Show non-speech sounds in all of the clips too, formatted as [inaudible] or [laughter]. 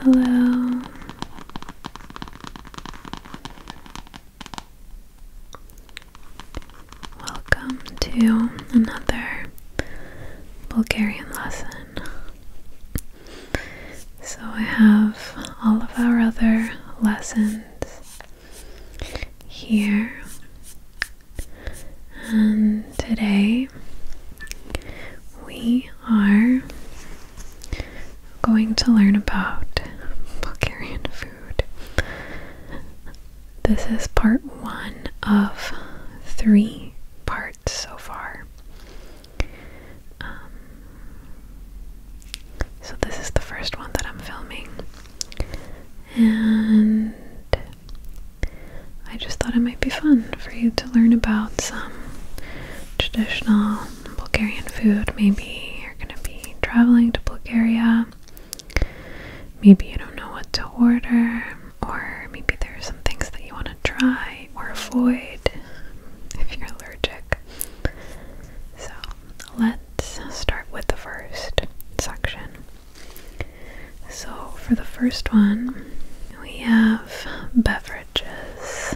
Hello. Welcome to another Bulgarian lesson. So, I have all of our other lessons here and today we are going to learn about Bulgarian food. This is part one of three parts so far. Um, so, this is the first one that I'm filming. And I just thought it might be fun for you to learn about some traditional Bulgarian food. Maybe you're going to be traveling to Bulgaria. Maybe you don't know what to order, or maybe there are some things that you want to try or avoid [laughs] if you're allergic. So let's start with the first section. So, for the first one, we have beverages.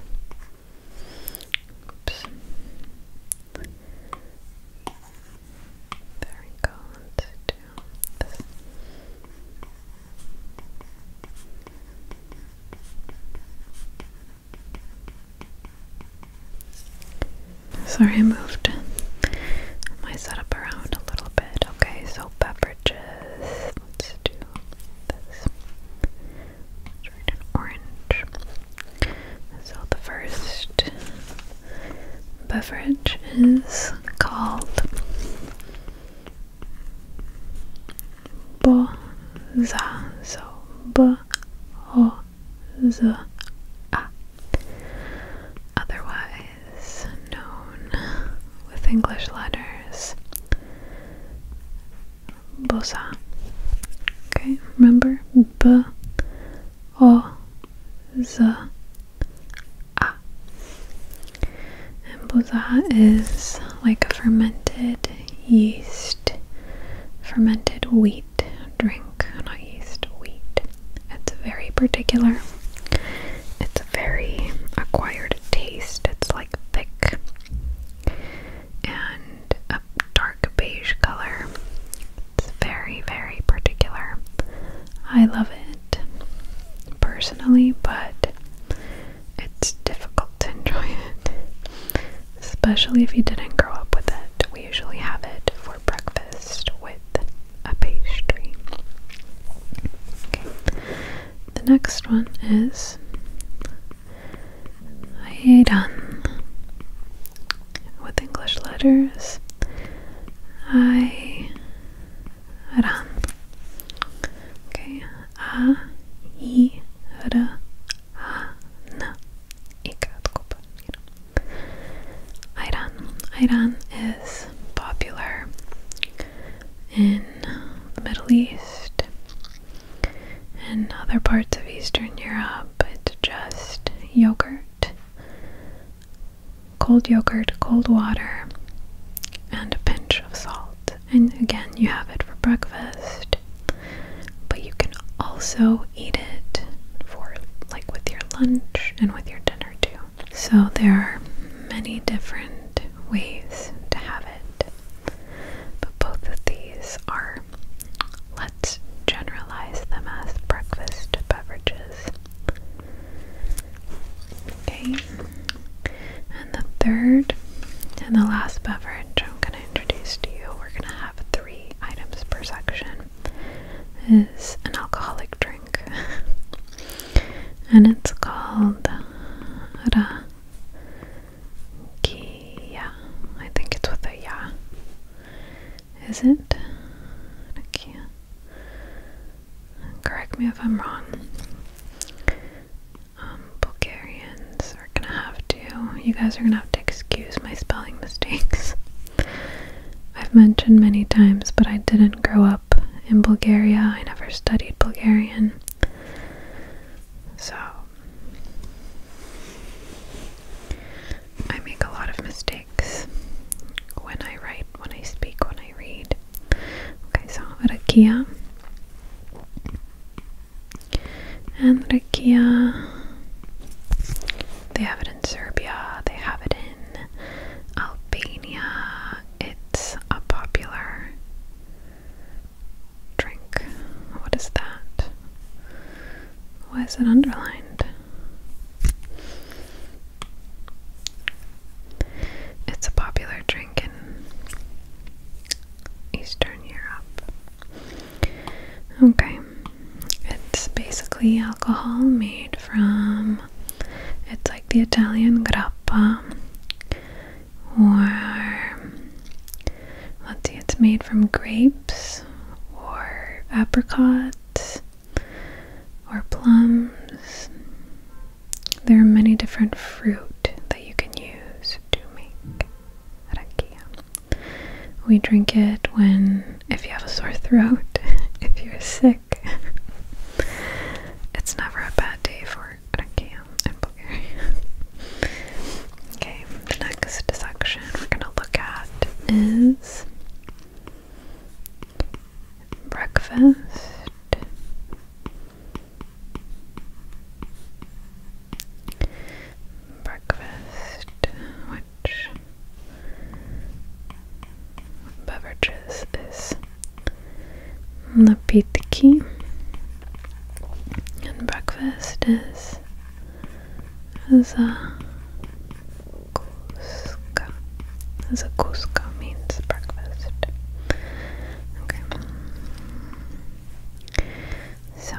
Sorry, I moved my setup around a little bit. Okay, so beverages. Let's do this. orange. So the first beverage is called Boza. So B O Z A. Otherwise is known with English letters Bosa. Okay, remember B O Z A. And Bosa is like a fermented yeast, fermented wheat drink, not yeast, wheat. It's very particular. It's a very acquired taste. It's like thick and a dark beige color. It's very, very particular. I love it personally, but it's difficult to enjoy it, especially if you didn't grow up with it. We usually have it for breakfast with a pastry. Okay. The next one is Aidan with English letters. I ran. Okay. A I R A N I got Iran. Iran is popular in uh, the Middle East and other parts of Eastern Europe. It's just yogurt, cold yogurt, cold water, and a pinch of salt. And again, you have it for breakfast, but you can also eat it for like with your lunch and with your dinner too. So there are many different ways to have it, but both of these are, let's generalize them as breakfast beverages. Okay, and the third and the last beverage I'm going to introduce to you, we're going to have three items per section, is an alcoholic drink and it's called uh, Rakia. I think it's with a ya. Is it? Correct me if I'm wrong. Um, Bulgarians are gonna have to, you guys are gonna have to excuse my spelling mistakes. [laughs] I've mentioned many times, but I didn't grow up in Bulgaria. I never studied Bulgarian. So I make a lot of mistakes when I write, when I speak, when I read. Okay, so rakia. And rakia, they have it in Serbia, they have it in Albania. It's a popular drink. What is that? Why is it underlined? It's a popular drink in Eastern Europe. Okay, it's basically alcohol made from it's like the Italian grappa, or let's see, it's made from grapes, or apricots, or plums. There are many different fruit that you can use to make rakia. We drink it when, if you have a sore throat, [laughs] if you're sick sick. [laughs] it's never a bad day for a cam in Bulgaria. [laughs] okay, the next section we're gonna look at is breakfast. Breakfast, which beverages is napitki and breakfast is zakuska. Zakuska means breakfast. Okay. So,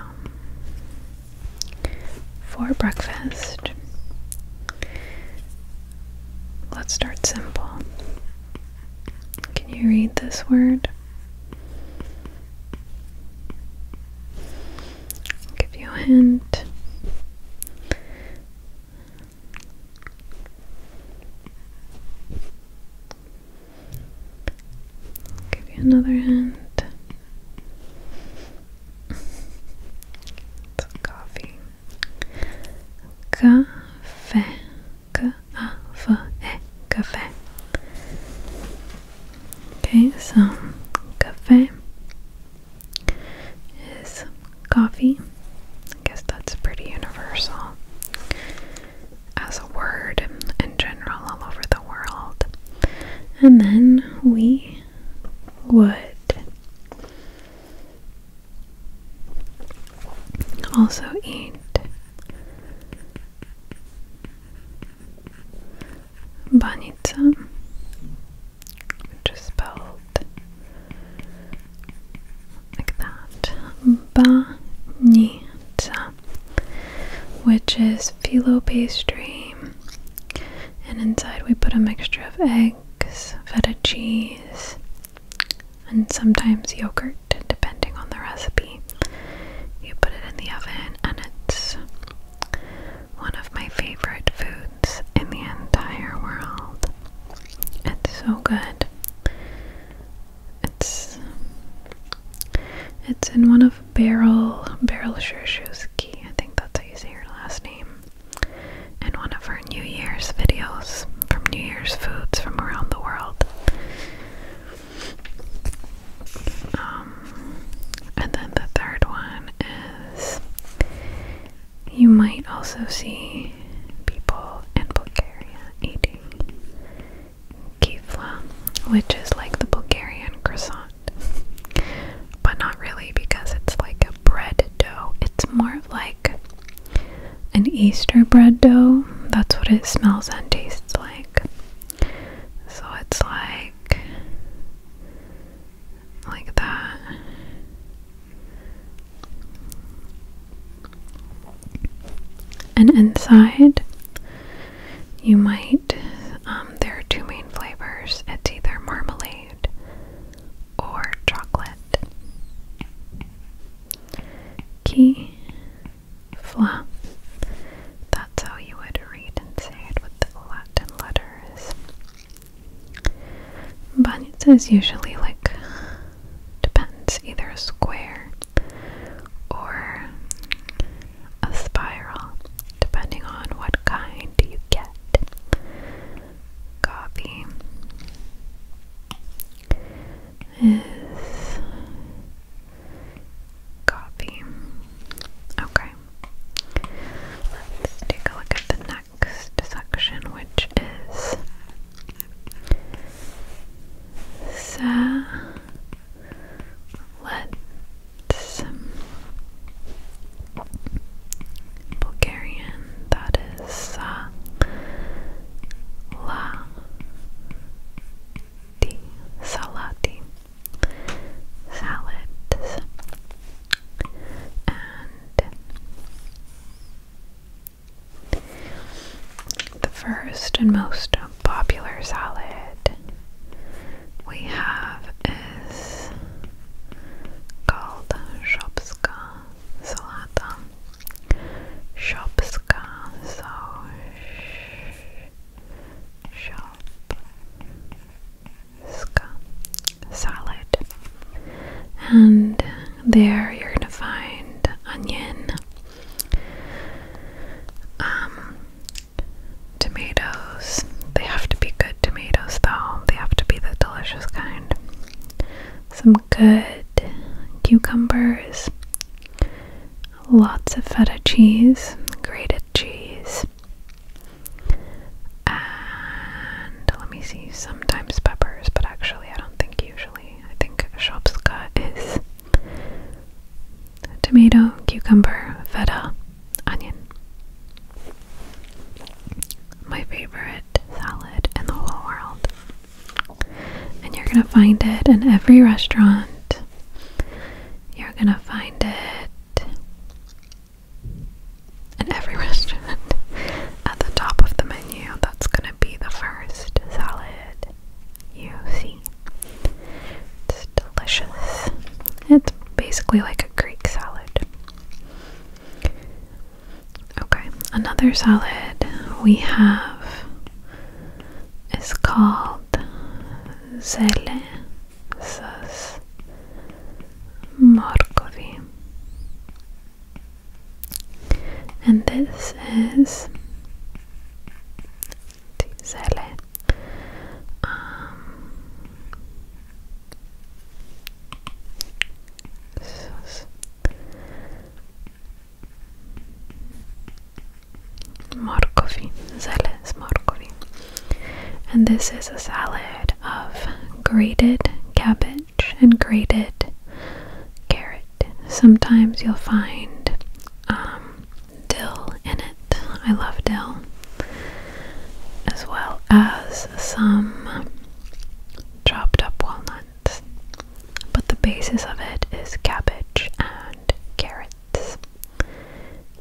for breakfast, Let's start simple. Can you read this word? give you a hint. give you another hint. [laughs] coffee. Café. C-A-V-E. Café. Okay, so café is coffee. I guess that's pretty universal as a word in general all over the world. And then we would also eat banitsa, which is spelled like that. Banitsa, which is phyllo pastry, and inside we put a mixture of eggs eggs, feta cheese, and sometimes yogurt, depending on the recipe. You put it in the oven, and it's one of my favorite foods in the entire world. It's so good. It's it's in one of Beryl Beryl Shurshuski. I think that's how you say your last name. In one of our New Year's videos from New Year's foods from around the world. Um, and then the third one is you might also see people in Bulgaria eating kefla, which is like the Bulgarian croissant, but not really because it's like a bread dough. It's more of like an Easter bread dough. That's what it smells and tastes like. So it's like like that. And inside, you might, um, there are two main flavors. It's either marmalade or chocolate. Key fla. That's how you would read and say it with the Latin letters. Banyas is usually like depends either a square or a spiral, depending on what kind you get. Copy is coffee. Okay. Let's take a look at the next section, which is Sa Let's Bulgarian, that is uh, La Di salad, salads and the first and most popular salad we have is called Shopska Salata. Shopska, so Shopska salad. And there you're gonna find onion, um, tomatoes. They have to be good tomatoes, though. They have to be the delicious kind. Some good cucumbers. Lots of feta cheese, grated cheese. And let me see, sometimes peppers, but actually, I don't think usually. I think shopska is tomato, cucumber, feta, onion. My favorite salad in the whole world. And you're gonna find it in every restaurant. You're gonna find it in every [laughs] restaurant. At the top of the menu, that's gonna be the first salad you see. It's delicious. It's basically like a Greek salad. Okay, another salad we have is called Zele Sus Morkovi. And this is Zele. Um, Sus. Morkovi, zele And this is a salad of grated cabbage and grated carrot. Sometimes you'll find um, dill in it. I love dill as well as some chopped up walnuts. But the basis of it is cabbage and carrots.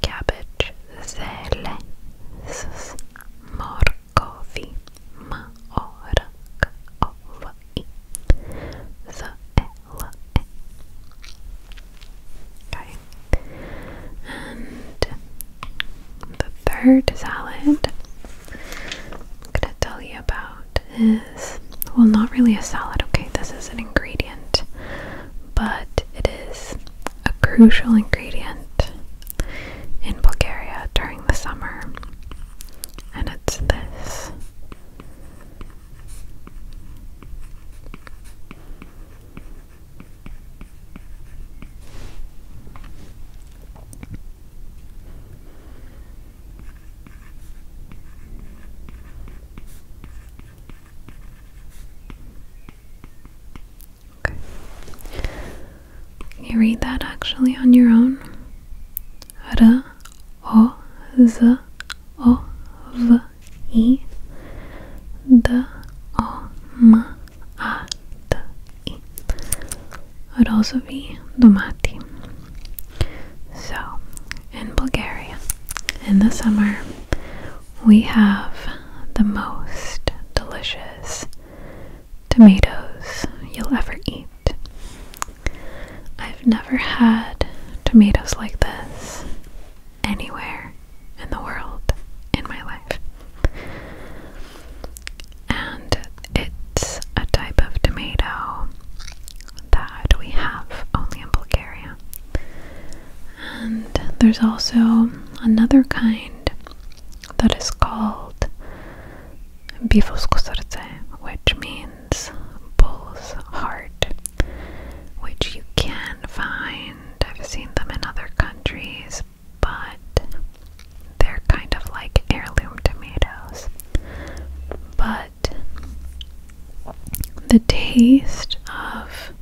Cabbage zele s morkovi ma and the third salad I'm going to tell you about is well, not really a salad, okay, this is an ingredient, but it is a crucial ingredient in Bulgaria during the summer, and it's this. Okay. You read that actually on your own. R O Z O V I D O M a-D-I. [gasps] Would also be Dumati. So, in Bulgaria, in the summer, we have the most delicious tomatoes you'll ever eat. I've never had tomatoes like this anywhere in the world in my life. And it's a type of tomato that we have only in Bulgaria. And there's also another kind that is called bifosko srce, which means bull's heart, which you can find I've seen them in other countries, but they're kind of like heirloom tomatoes. But the taste of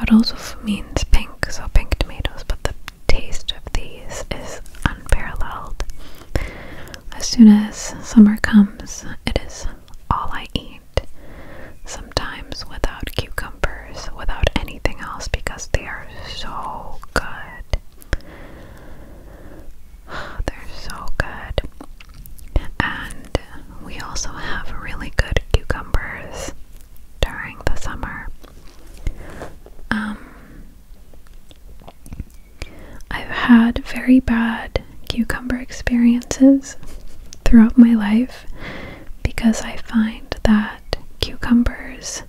it also means pink, so pink tomatoes, but the taste of these is unparalleled. As soon as summer comes, it is all I eat. Sometimes without cucumbers, without anything else, because they are so good. [sighs] They're so good. And we also have really good cucumbers during the summer. Um, I've had very bad cucumber experiences throughout my life because I find that cucumbers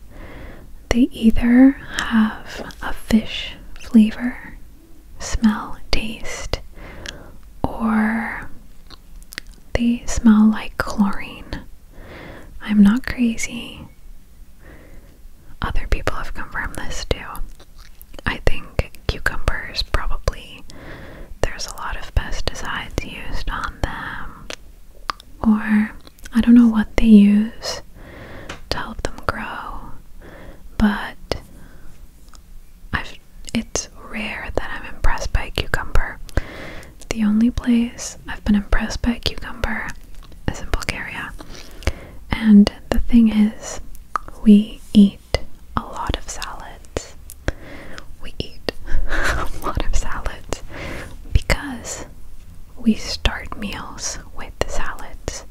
they either have a fish flavor, smell, taste, or they smell like chlorine. I'm not crazy. Other people have confirmed this too. I think cucumbers probably there's a lot of pesticides used on them, or I don't know what they use to help them grow, but I've, it's rare that I'm impressed by cucumber. The only place I've been impressed by cucumber is in Bulgaria. And the thing is, we eat a lot of salads. We eat [laughs] a lot of salads because we start meals with salads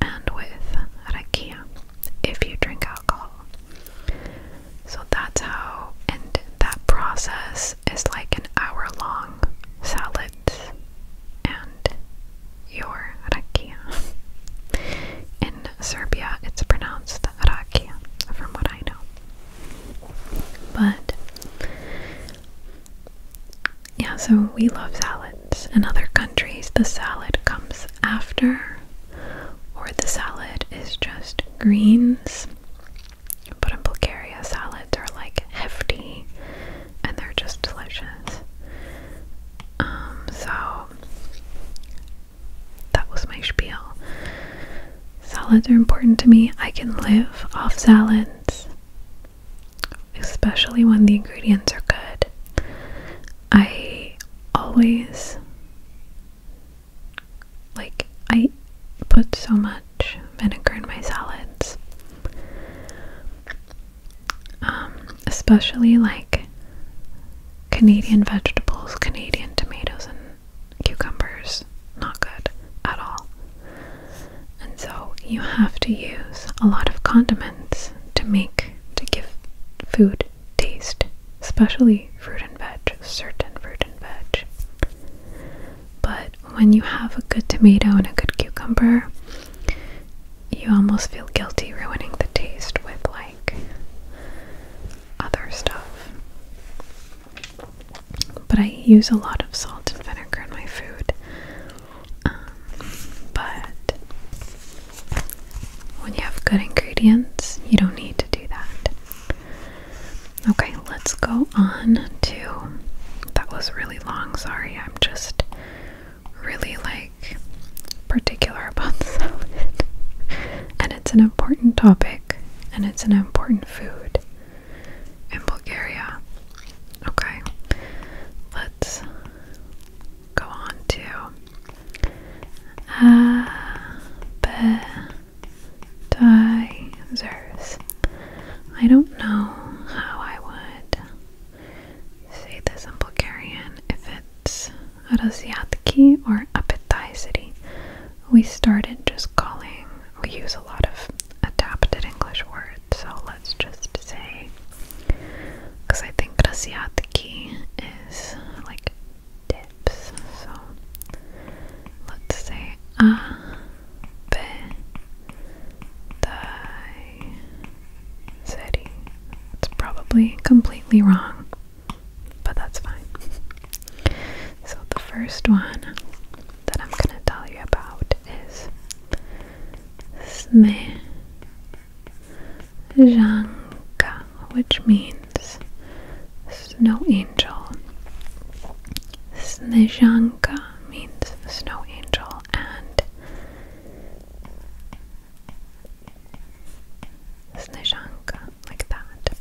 and with rakia if you drink alcohol. So that's how, and that process is like an hour long salad and your rakia. In Serbia, it's pronounced rakia, from what I know. But yeah, so we love salads. In other countries, the salad comes after, or the salad is just greens. But in Bulgaria, salads are like hefty and they're just delicious. Um, so that was my spiel. Salads are important to me. I can live off salads, especially when the ingredients are good. I always like, I put so much vinegar in my salads. Um, especially like Canadian vegetables, Canadian tomatoes, and cucumbers. Not good at all. And so you have to use a lot of condiments to make, to give food taste, especially fruit and veg, certain fruit and veg. But when you have a good tomato and a good cucumber, you almost feel guilty ruining the taste with other stuff. But I use a lot of salt and vinegar in my food. Um, but when you have good ingredients, you don't need to do that. Okay, let's go on to. That was really long, sorry. I'm just really like particular about the salad. [laughs] and it's an important topic and it's an important food in Bulgaria. Okay. Let's go on to appetizers. I don't know how I would say this in Bulgarian if it's rozjadki or appetizery. We started just calling, we use a lot of adapted English words, so let's just say, because I think rozjadki is like dips, so let's say appetizer. Ah, city. It's probably completely wrong, but that's fine. So, the first one that I'm going to tell you about is Snejanka, which means snow angel. Snejanka means snow angel, and Snežanka, like that.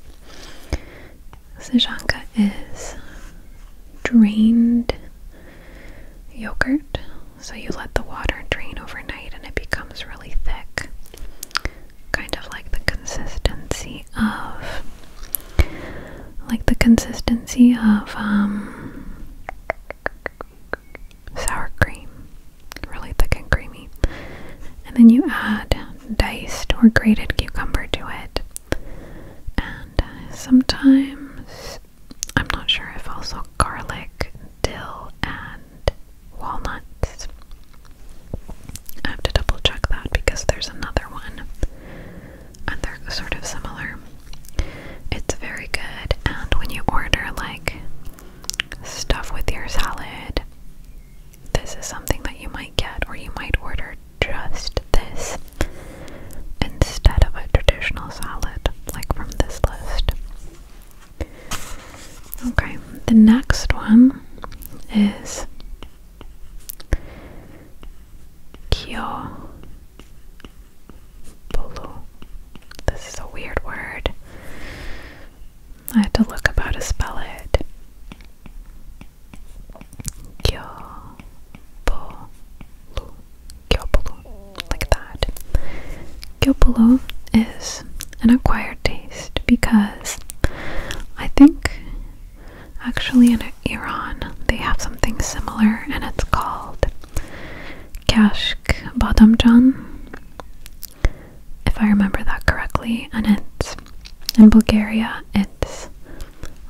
Snežanka is drained yogurt. So you let the water drain overnight and it becomes really thick. Kind of like the consistency of like the consistency of um sour cream really thick and creamy. And then you add diced or grated cucumber to it. And uh, sometimes, I'm not sure if also garlic, dill, and walnuts. I have to double check that because there's another one. And they're sort of similar. It's very good, and when you order like stuff with your salad. This is something that you might get, or you might order just this instead of a traditional salad, like from this list. Okay, the next one is Kyo Polo. This is a weird word. I had to look up how to spell it. Gyopolo. Gyopolo. Like that. Gyopolo is an acquired taste because I think actually in Iran they have something similar and it's called cash Black Bottom John, if I remember that correctly, and it's in Bulgaria it's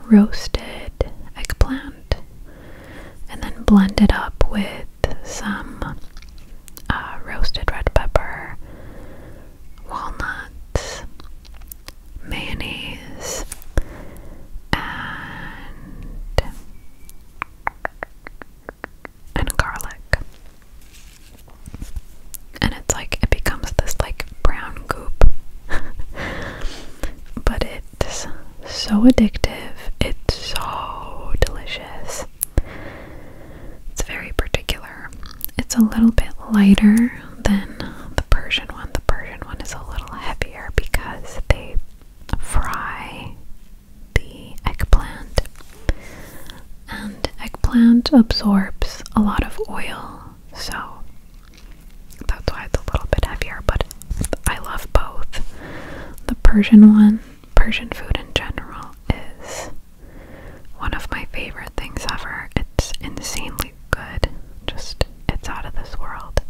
roasted eggplant and then blended up with some uh, roasted red pepper, walnuts, mayonnaise, and and garlic. And it's like it becomes this like brown goop. [laughs] but it's so addictive. It's so delicious. It's very particular. It's a little bit lighter than the Persian one. The Persian one is a little heavier because they fry the eggplant. And eggplant absorbs a lot of oil, so that's why it's a little bit heavier, but I love both. The Persian one, Persian food in general, is one of my favorite things ever. It's insanely good. Just, it's out of this world.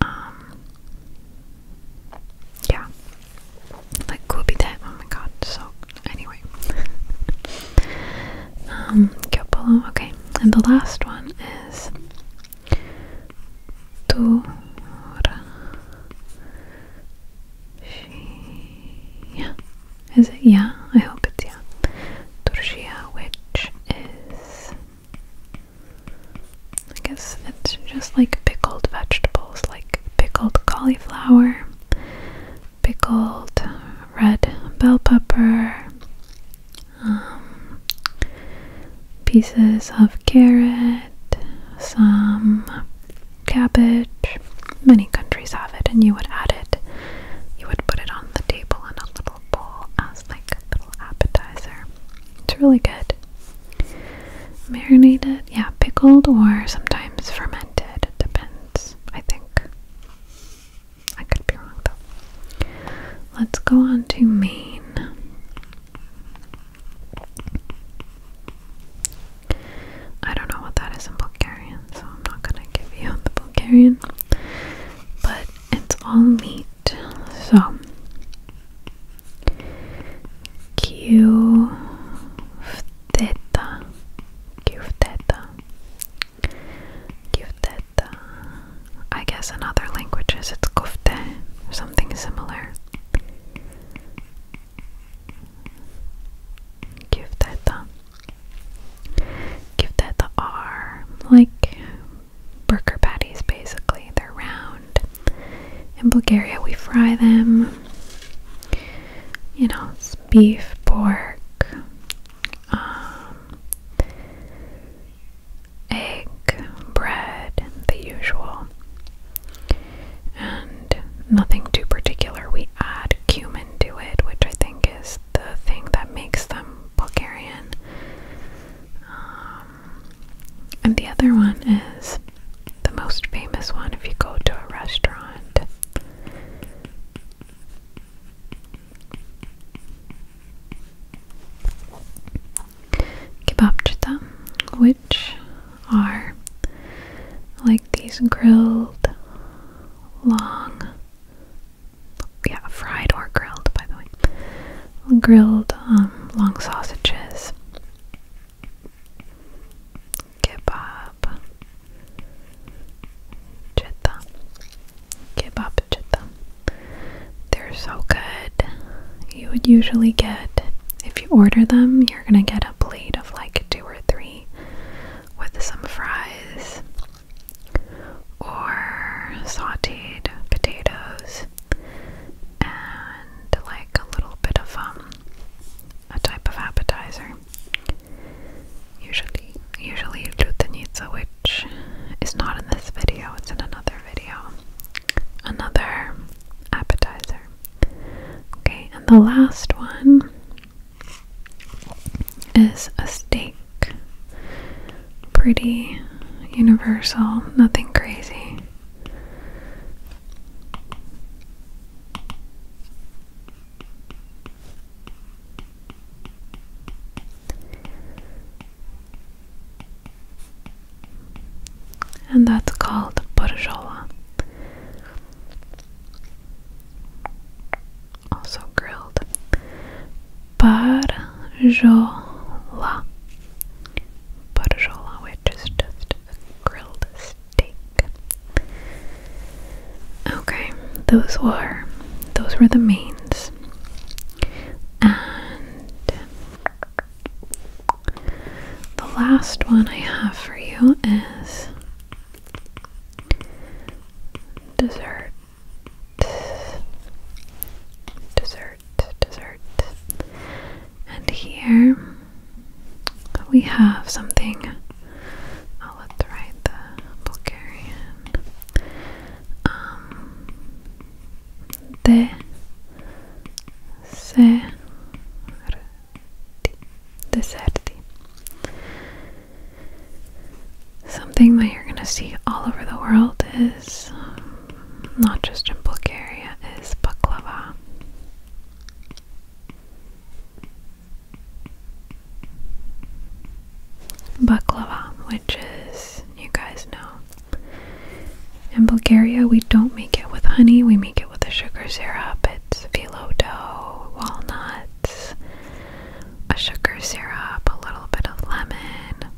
Um, yeah, like could be that. Oh my god. So anyway, [laughs] um, couple. Okay, and the last one is to. Yeah, is it? Yeah, I hope it's yeah. Turcia, which is I guess it's just like pickled vegetables, like pickled cauliflower, pickled uh, red bell pepper, um, pieces of carrot, some cabbage. Many countries have it, and you would add it. You would put it on the table in a little bowl as like a little appetizer. It's really good. Marinated, yeah, pickled or sometimes fermented. depends, I think. I could be wrong though. Let's go on to Maine. I don't know what that is in Bulgarian, so I'm not gonna give you the Bulgarian. But it's all meat, so Q theta, Q theta, Q theta. I guess in other languages it's kufte or something similar. Q theta, Q theta R, like burger patties basically. They're round. In Bulgaria, we fry them. You know, beef, pork, um, egg, bread, the usual. And nothing too particular. We add cumin to it, which I think is the thing that makes them Bulgarian. Um, and the other one is the most famous one if you go to a restaurant. Kebabchita, which are like these grilled, long, yeah, fried or grilled, by the way, grilled um, long sausages, kebab, chitta, kebab chitta. They're so good. You would usually get, if you order them, you're gonna get a plate of like two or three with some fries or sauteed potatoes and like a little bit of um a type of appetizer. Usually usually lutenica, which is not in this video, it's in another video. Another appetizer. Okay, and the last one is a steak pretty universal, nothing crazy. And that's called borjola. Also grilled barjola. Barjola, which is just a grilled steak. Okay, those were those were the mains. And the last one I have for you is dessert. Dessert dessert, And here we have something. I'll let the right the Bulgarian. Um, de se deserti. Something that you're gonna see all over the world is not just in Bulgaria, is baklava. Baklava, which is, you guys know. In Bulgaria, we don't make it with honey, we make it with a sugar syrup. It's phyllo dough, walnuts, a sugar syrup, a little bit of lemon,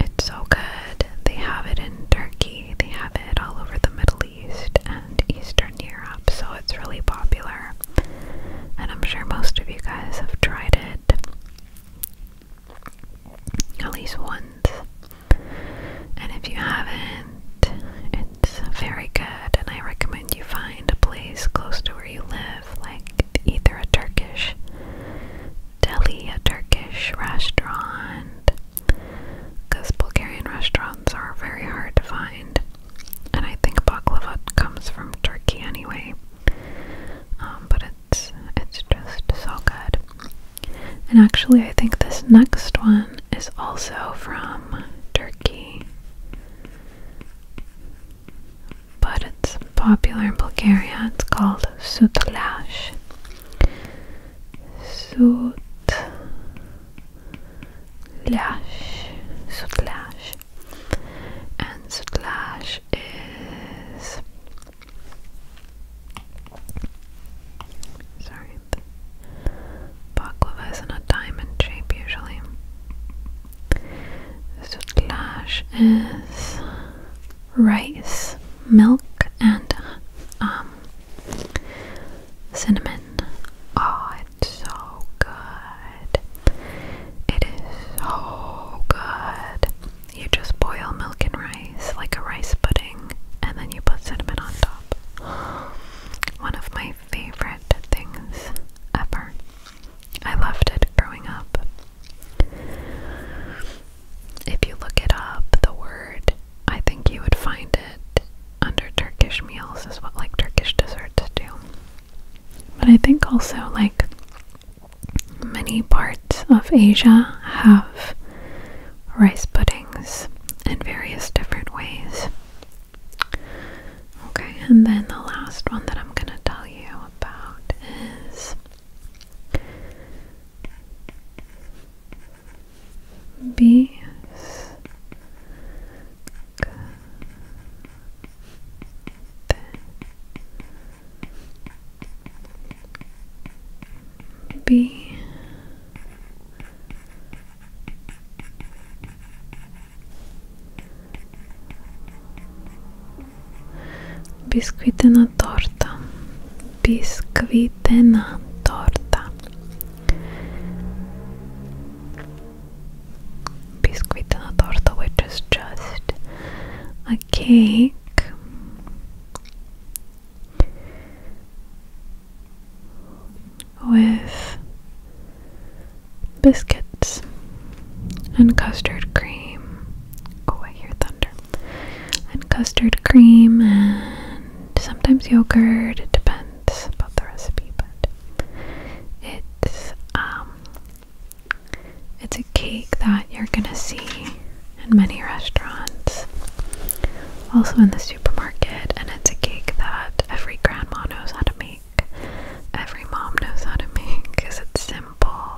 it's so good. They have it in Turkey, they have it all over the Middle East and Eastern Europe, so it's really popular. And I'm sure most of you guys have tried it at least once. And if you haven't, it's very good. And I recommend you find a place close to where you live, like either a Turkish deli, a Turkish restaurant, because Bulgarian restaurants are very hard to find, and I think baklava comes from Turkey anyway. Um, but it's it's just so good. And actually, I think this next one is also from Turkey but it's popular in Bulgaria. It's called sutlash. Sutlash. Sutlash. And sutlash is. Sorry. Baklava is in a diamond shape usually. Sutlash is rice, milk, and um, cinnamon. Oh, it's so good. It is so good. You just boil milk and rice like a rice pudding, and then you put cinnamon on top. One of my favorite things ever. I loved it growing up. If you look it up, the word, I think you would find it under Turkish meals is what like Turkish desserts do. But I think also like many parts of Asia have rice puddings in various different ways. Okay, and then the last one that I'm going to tell you about is B B Biscuit and a torta. Biscuit and a torta. Biscuit and a torta, which is just a cake. With biscuits and custard cream Oh, I hear thunder. And custard cream and sometimes yogurt. It depends about the recipe, but it's um it's a cake that you're gonna see in many restaurants. Also in the supermarket, and it's a cake that every grandma knows how to make. Every mom knows how to make because it's simple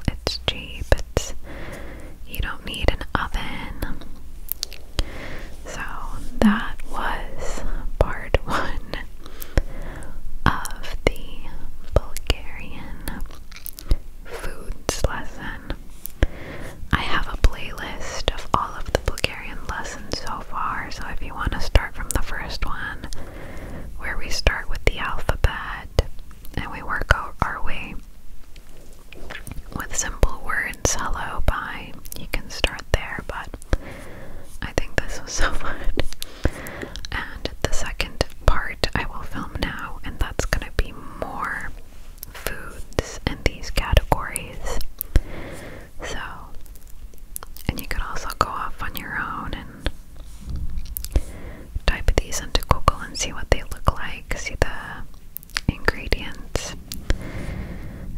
it's cheap, it's you don't need an oven. So that was part [laughs] one of the Bulgarian foods lesson. I have a playlist of all of the Bulgarian lessons so far, so if you want to start from the first one, where we start with the alphabet and we work out our way with simple words. Hello, bye. You can start there, but I think this was [laughs] so fun. And the second part I will film now, and that's gonna be more foods in these categories. So, and you can also go off on your own and Type these into Google and see what they look like, see the ingredients.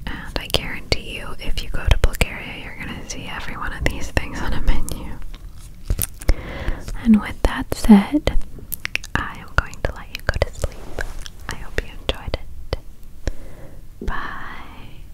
And I guarantee you, if you go to Bulgaria, you're going to see every one of these things on a menu. And with that said, I am going to let you go to sleep. I hope you enjoyed it. Bye.